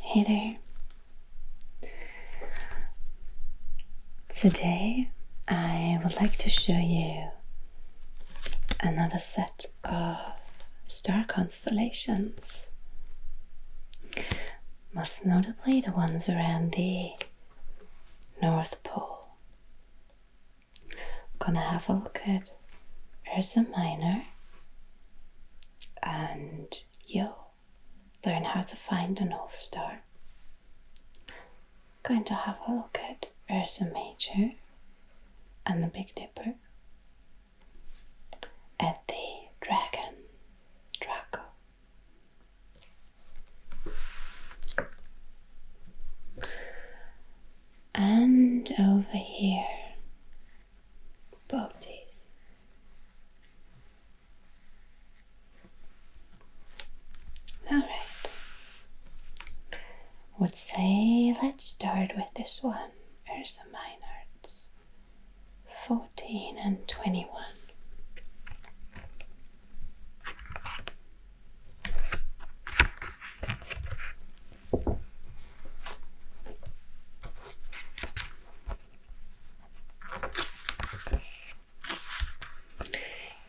Hey there. Today I would like to show you another set of star constellations, most notably the ones around the North Pole. gonna have a look at Ursa Minor and you'll learn how to find the North Star. Going to have a look at Ursa Major and the Big Dipper, at the dragon Draco. And over here both bodies. All right. Would say let's start with this one, Ursa Minor's 14 and 21.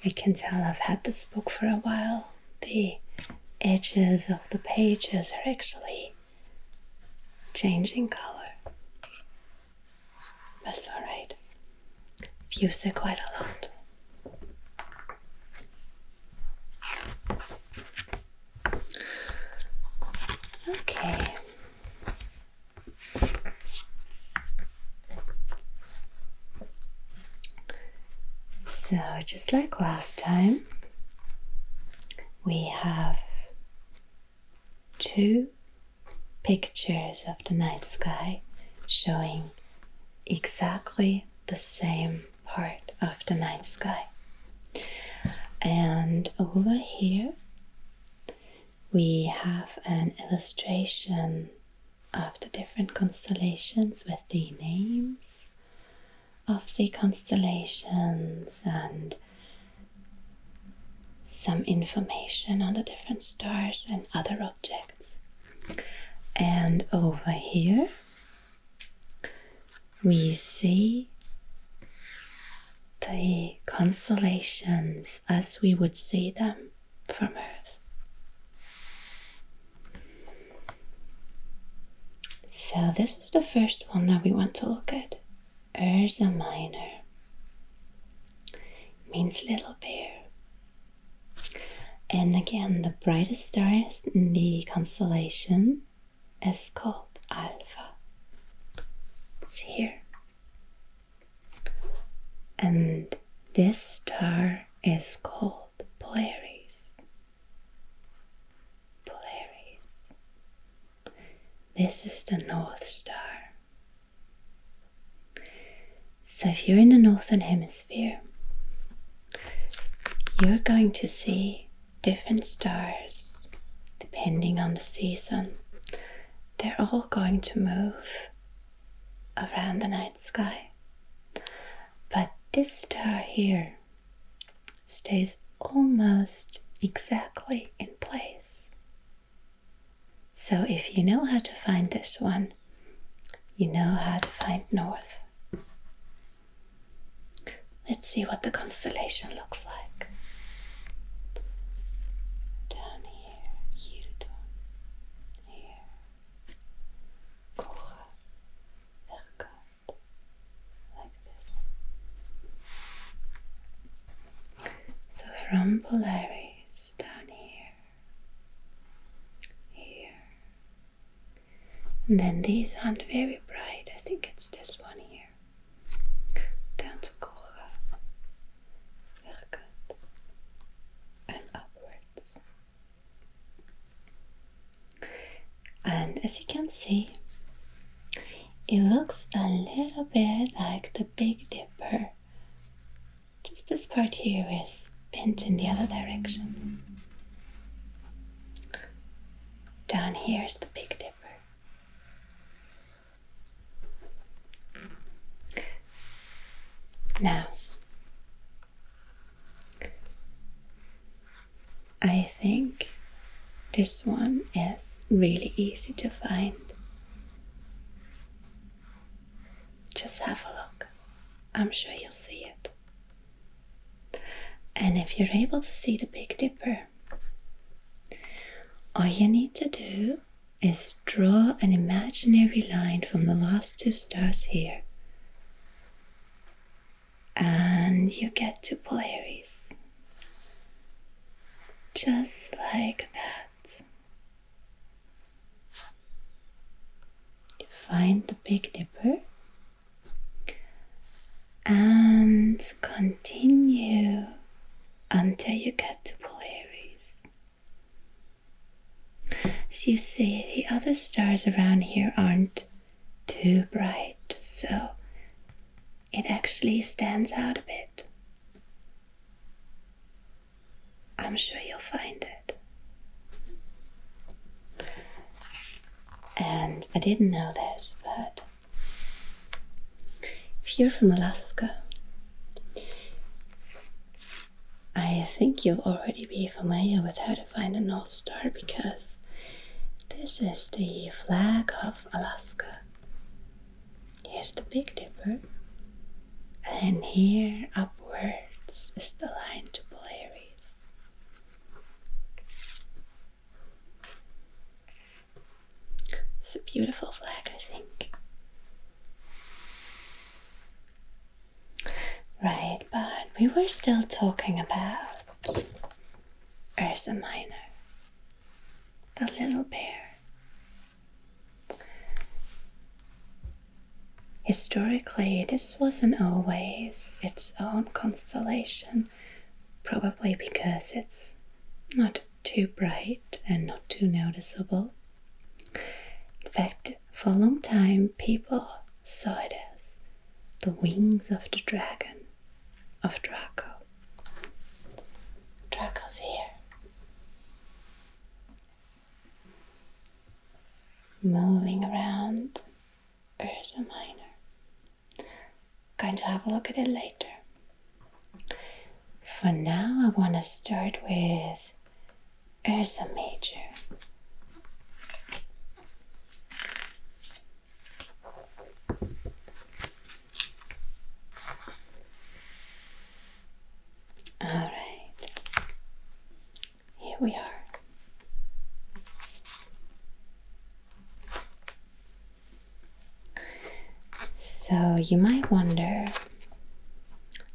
I can tell I've had this book for a while. The edges of the pages are actually changing color. That's alright. I've it quite a lot. Okay. So, just like last time, we have two pictures of the night sky showing exactly the same part of the night sky. And over here we have an illustration of the different constellations with the names of the constellations and some information on the different stars and other objects. And over here we see the constellations as we would see them from Earth. So, this is the first one that we want to look at Urza Minor. means little bear. And again, the brightest star in the constellation is called alpha. It's here. And this star is called Polaris. Polaris. This is the North Star. So, if you're in the Northern Hemisphere, you're going to see different stars depending on the season. They're all going to move around the night sky. But this star here stays almost exactly in place. So if you know how to find this one, you know how to find north. Let's see what the constellation looks like. Down here, Hildon, here, Kocha, Verkat, like this. So from Polaris down here, here, then these aren't very bright. I think it's this one here. Dansekocha werkend and upwards. And as you can see, it looks a little bit like the Big Dipper. Just this part here is bent in the other direction. Down here is the Big Dipper. Now, I think this one is really easy to find. Just have a look, I'm sure you'll see it. And if you're able to see the Big Dipper, all you need to do is draw an imaginary line from the last two stars here. And you get to Polaris. Just like that. Find the Big Dipper and continue until you get to Polaris. As you see, the other stars around here aren't too bright, so it actually stands out a bit. I'm sure you'll find it. And I didn't know this, but if you're from Alaska, I think you'll already be familiar with how to find the North Star because this is the flag of Alaska. Here's the Big Dipper, and here upwards is the line to Polaris. It's a beautiful flag, I think. Right, but we were still talking about Ursa Minor, the little bear. Historically, this wasn't always its own constellation probably because it's not too bright and not too noticeable. In fact, for a long time, people saw it as the wings of the dragon of Draco. Draco's here. Moving around a miner going to have a look at it later. For now, I want to start with Ursa Major. All right, here we are. So you might wonder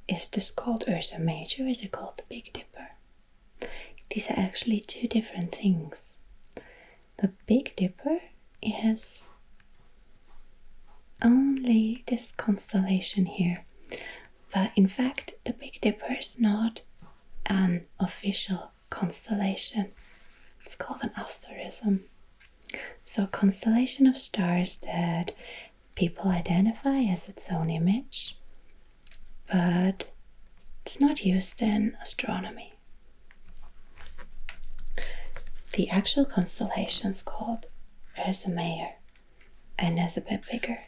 is this called Ursa Major is it called the Big Dipper? These are actually two different things. The Big Dipper it has only this constellation here. But in fact, the Big Dipper is not an official constellation. It's called an asterism. So, a constellation of stars that people identify as its own image, but it's not used in astronomy. The actual constellation is called Ursa Major and is a bit bigger.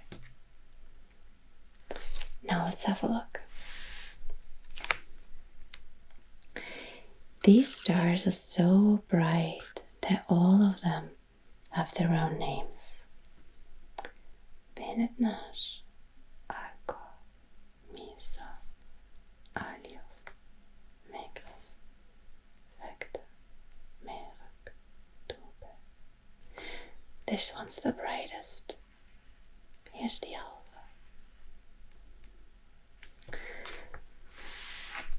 Now let's have a look. These stars are so bright that all of them have their own names. Benetnash, Arco, Misa, Aliof, Megris, Vector, Merak, Tobe. This one's the brightest. Here's the alpha.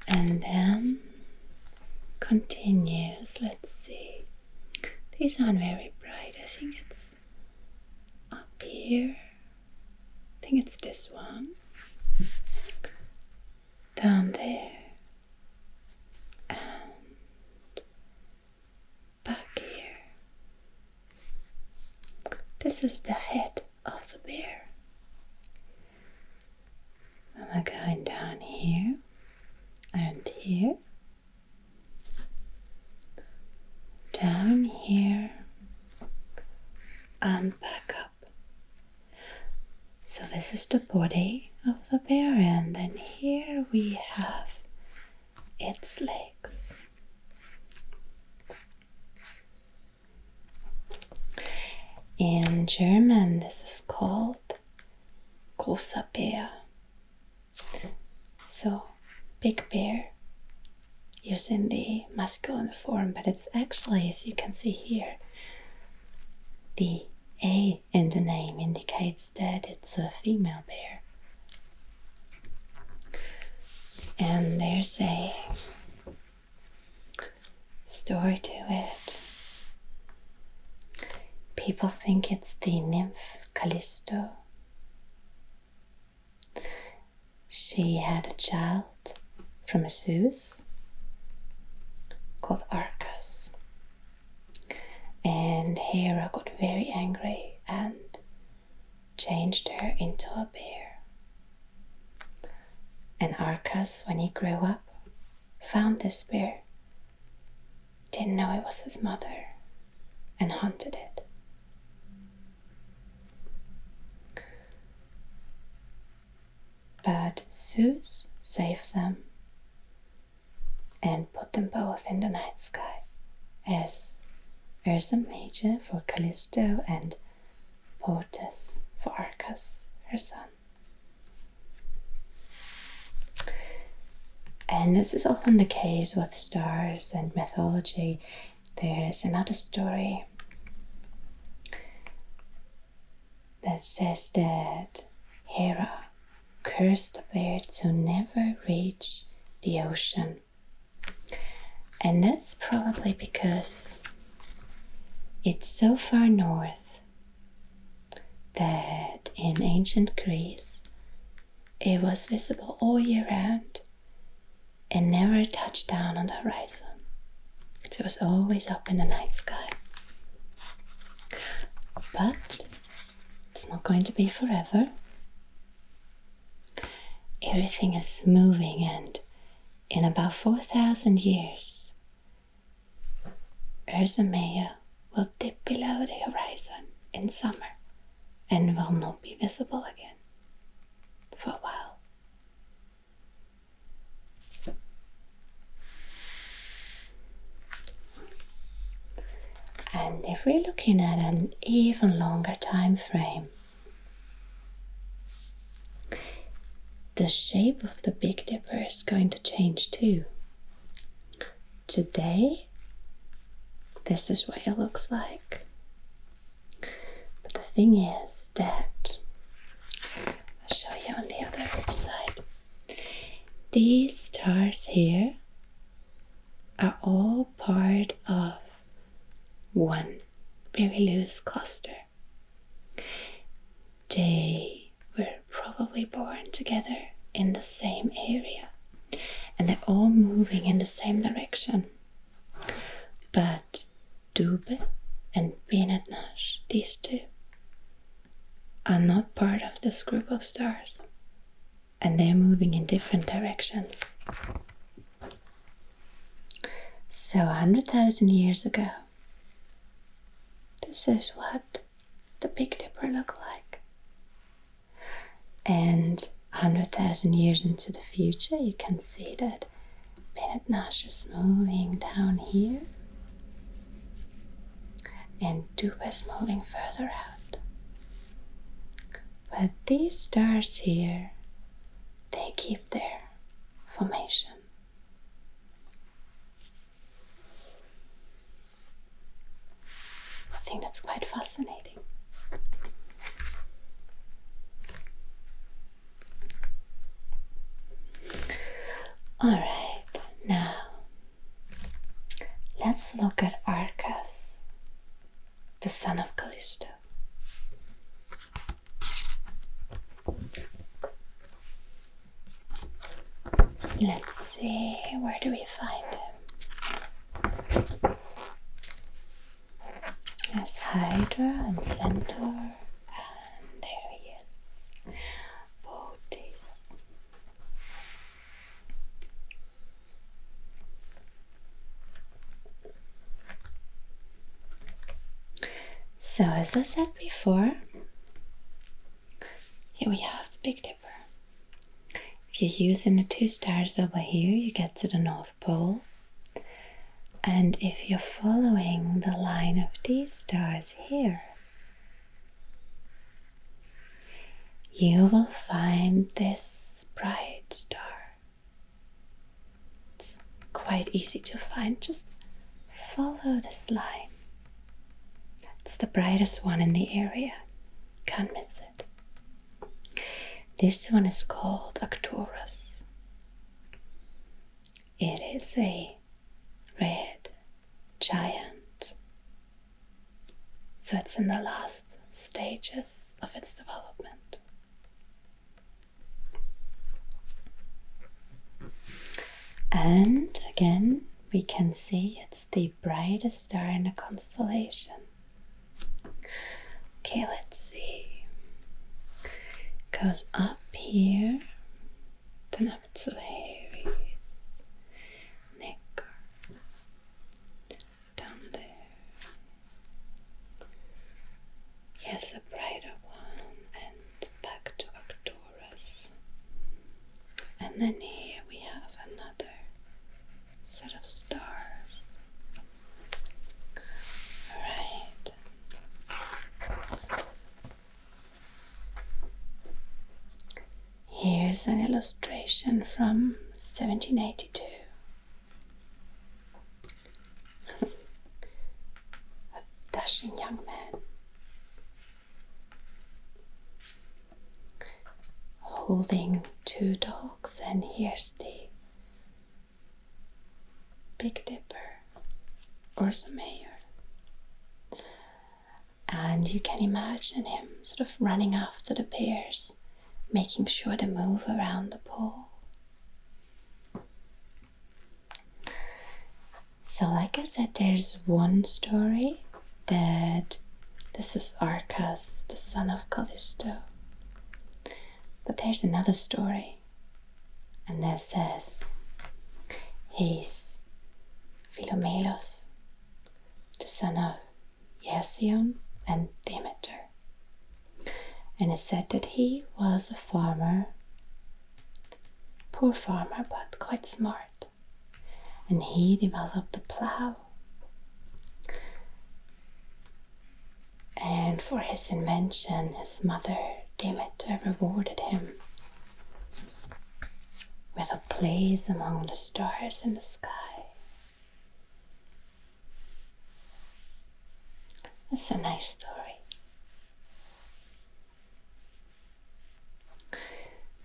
And then continues. Let's see. These aren't very bright. I think it's up here. I think it's this one. Down there back here. This is the head of the bear. I'm going down here and here, down here, and back up. So, this is the body of the bear, and then here we have its legs. In German, this is called großer So, big bear using the masculine form, but it's actually, as you can see here, the A in the name indicates that it's a female bear. And there's a story to it. People think it's the nymph Callisto. She had a child from Zeus called Arcas. And Hera got very angry and changed her into a bear. And Arcas, when he grew up, found this bear, didn't know it was his mother, and hunted it. But Zeus saved them and put them both in the night sky as a Major for Callisto and Portus for Arcas, her son. And this is often the case with stars and mythology. There's another story that says that Hera cursed the bird to never reach the ocean and that's probably because it's so far north that in ancient Greece it was visible all year round and never touched down on the horizon. it was always up in the night sky. But it's not going to be forever. Everything is moving, and in about 4,000 years, Ursa will dip below the horizon in summer and will not be visible again for a while. And if we're looking at an even longer time frame, the shape of the Big Dipper is going to change too. Today, this is what it looks like. But the thing is that, I'll show you on the other side. These stars here are all part of one very loose cluster. They were probably born together in the same area and they're all moving in the same direction. But Dube and Benetnash, these two, are not part of this group of stars and they're moving in different directions. So, 100,000 years ago, this is what the Big Dipper looked like. And 100,000 years into the future, you can see that Planet Nash is moving down here and Duba moving further out. But these stars here, they keep their formation. I think that's quite fascinating. All right, now let's look at Arcas the son of Callisto. Let's see, where do we find him? There's Hydra and Centaur, and there he is, Bootes. So, as I said before, here we have the Big Dipper. If you're using the two stars over here, you get to the North Pole. And if you're following the line of these stars here, you will find this bright star. It's quite easy to find. Just follow this line. It's the brightest one in the area. Can't miss it. This one is called Arcturus. It is a red giant. So it's in the last stages of its development. And again, we can see it's the brightest star in the constellation. Okay, let's see. goes up here, then up to Aries, Nicker, down there. Yes, a brighter one, and back to Arcturus. And then here we have another set of stars. Alright. Here's an illustration from 1782 a dashing young man. Holding two dogs, and here's the Big Dipper or some mayor. And you can imagine him sort of running after the bears making sure to move around the pole. So, like I said, there's one story that this is Arcas, the son of Callisto. But there's another story, and that says he's Philomelos, the son of Iasion and Demeter. And it said that he was a farmer, poor farmer, but quite smart. And he developed the plow. And for his invention, his mother Demeter rewarded him with a place among the stars in the sky. That's a nice story.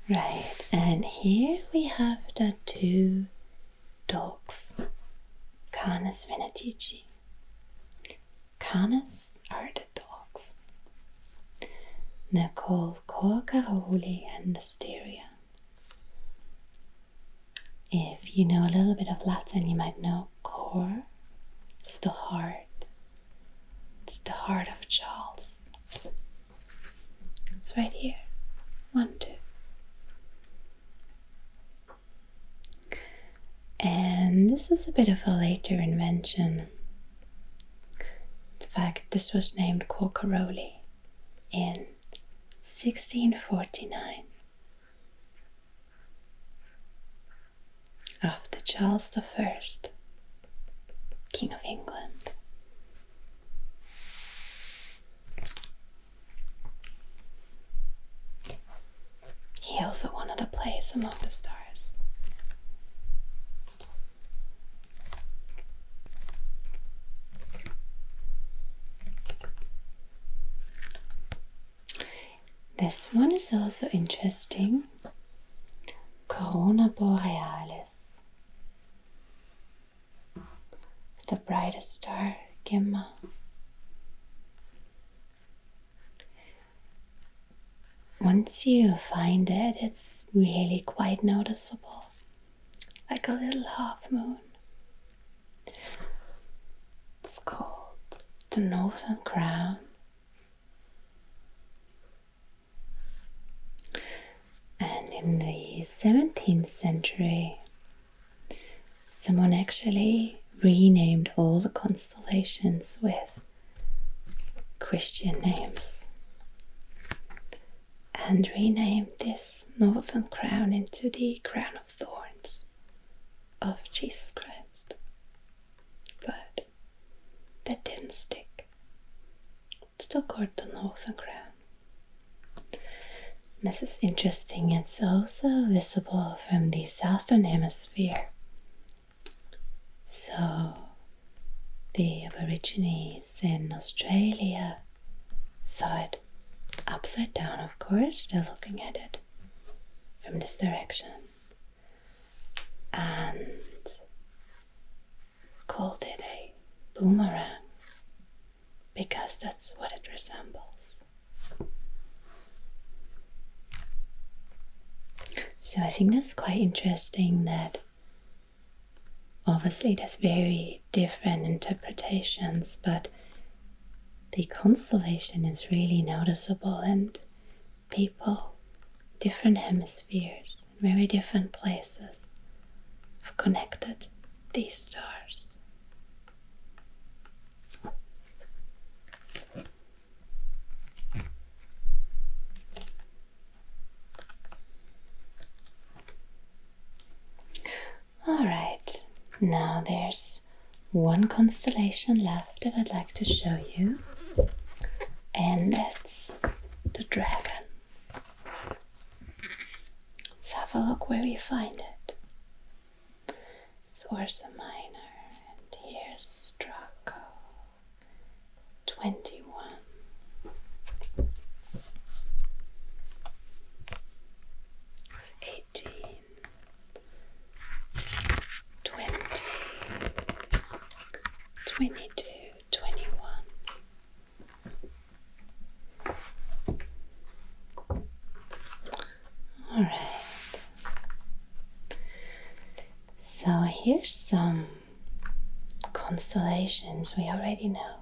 Right, and here we have the two dogs, Canis Venatici. Canis are the dogs, Nicole Corcaroli and Asteria. If you know a little bit of Latin, you might know cor. It's the heart. It's the heart of Charles. It's right here. One, two. And this was a bit of a later invention. In fact, this was named Quacaroli in 1649. After Charles I, King of England. He also wanted a place among the stars. This one is also interesting Corona Borealis, the brightest star, Gemma. Once you find it, it's really quite noticeable, like a little half moon. It's called the Northern Crown. And in the 17th century, someone actually renamed all the constellations with Christian names and renamed this northern crown into the crown thorns of Jesus Christ. But that didn't stick. It's still called the Northern Crown. This is interesting, it's also visible from the Southern Hemisphere. So, the Aborigines in Australia saw it upside down, of course, they're looking at it from this direction, and called it a boomerang because that's what it resembles. So I think that's quite interesting that obviously there's very different interpretations, but the constellation is really noticeable, and people, different hemispheres, very different places, have connected these stars. All right, now there's one constellation left that I'd like to show you, and that's the dragon. Let's have a look where we find it. It's Ursa Minor, and here's Draco 21. It's 18 twenty, twenty two, twenty one. All right. So here's some constellations we already know.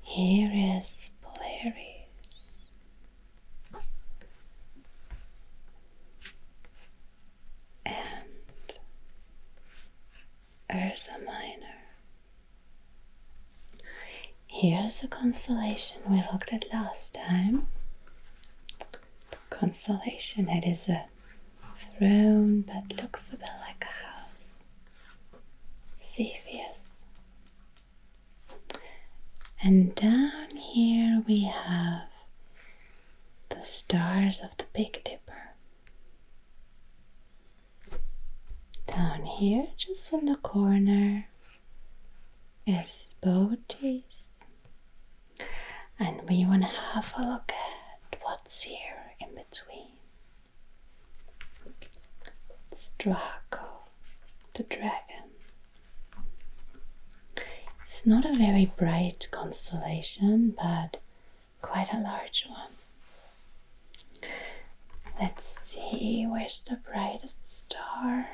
Here is Polaris. And Ursa Minor. Here's the constellation we looked at last time. constellation, it is a throne but looks a bit like a house. Cepheus. And down here we have the stars of the Big Dipper. Down here, just in the corner, is Boaties. And we want to have a look at what's here in between. Draco, the dragon. It's not a very bright constellation, but quite a large one. Let's see, where's the brightest star?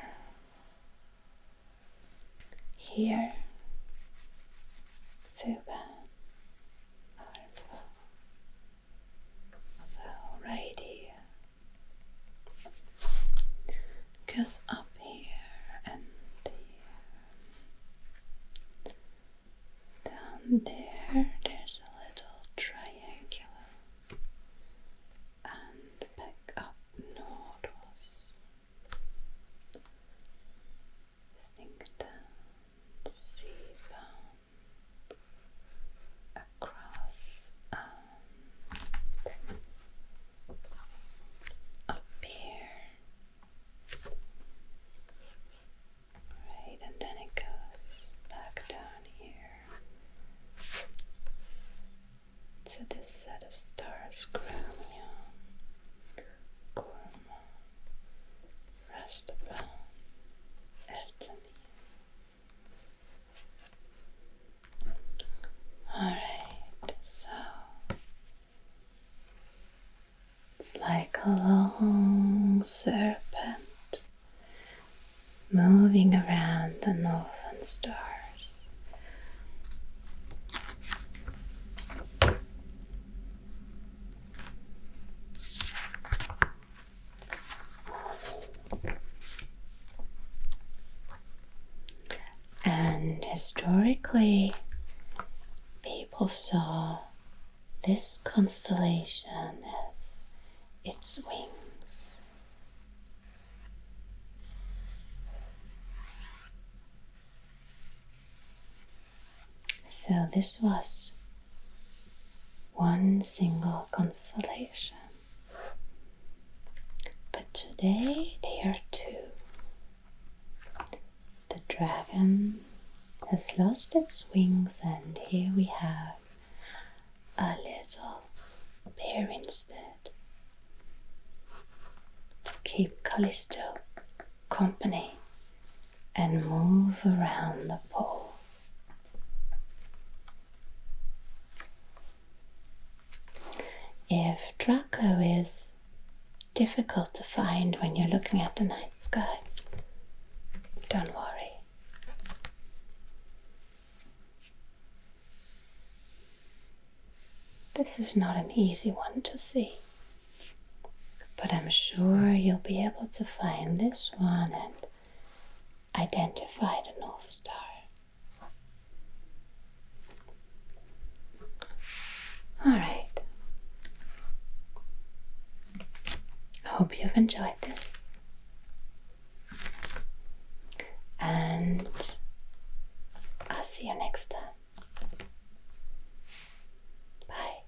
Here, Thuban, Alrighty. Goes up here and Down there, there's a little triangular. And pick up nodules. Think down, see down across um, up here, right, and then it goes back down here. So this set of stars, Gramion, Gorma, Rastabel, Ertani, all right, so it's like a long serpent moving around the northern stars. And historically, people saw this constellation as its wings. So, this was one single constellation. But today they are two. The dragon has lost its wings, and here we have a little bear instead to keep Callisto company and move around the pole. If Draco is difficult to find when you're looking at the night sky, don't worry. This is not an easy one to see, but I'm sure you'll be able to find this one identify the North Star. All right. I hope you've enjoyed this. And I'll see you next time. Bye.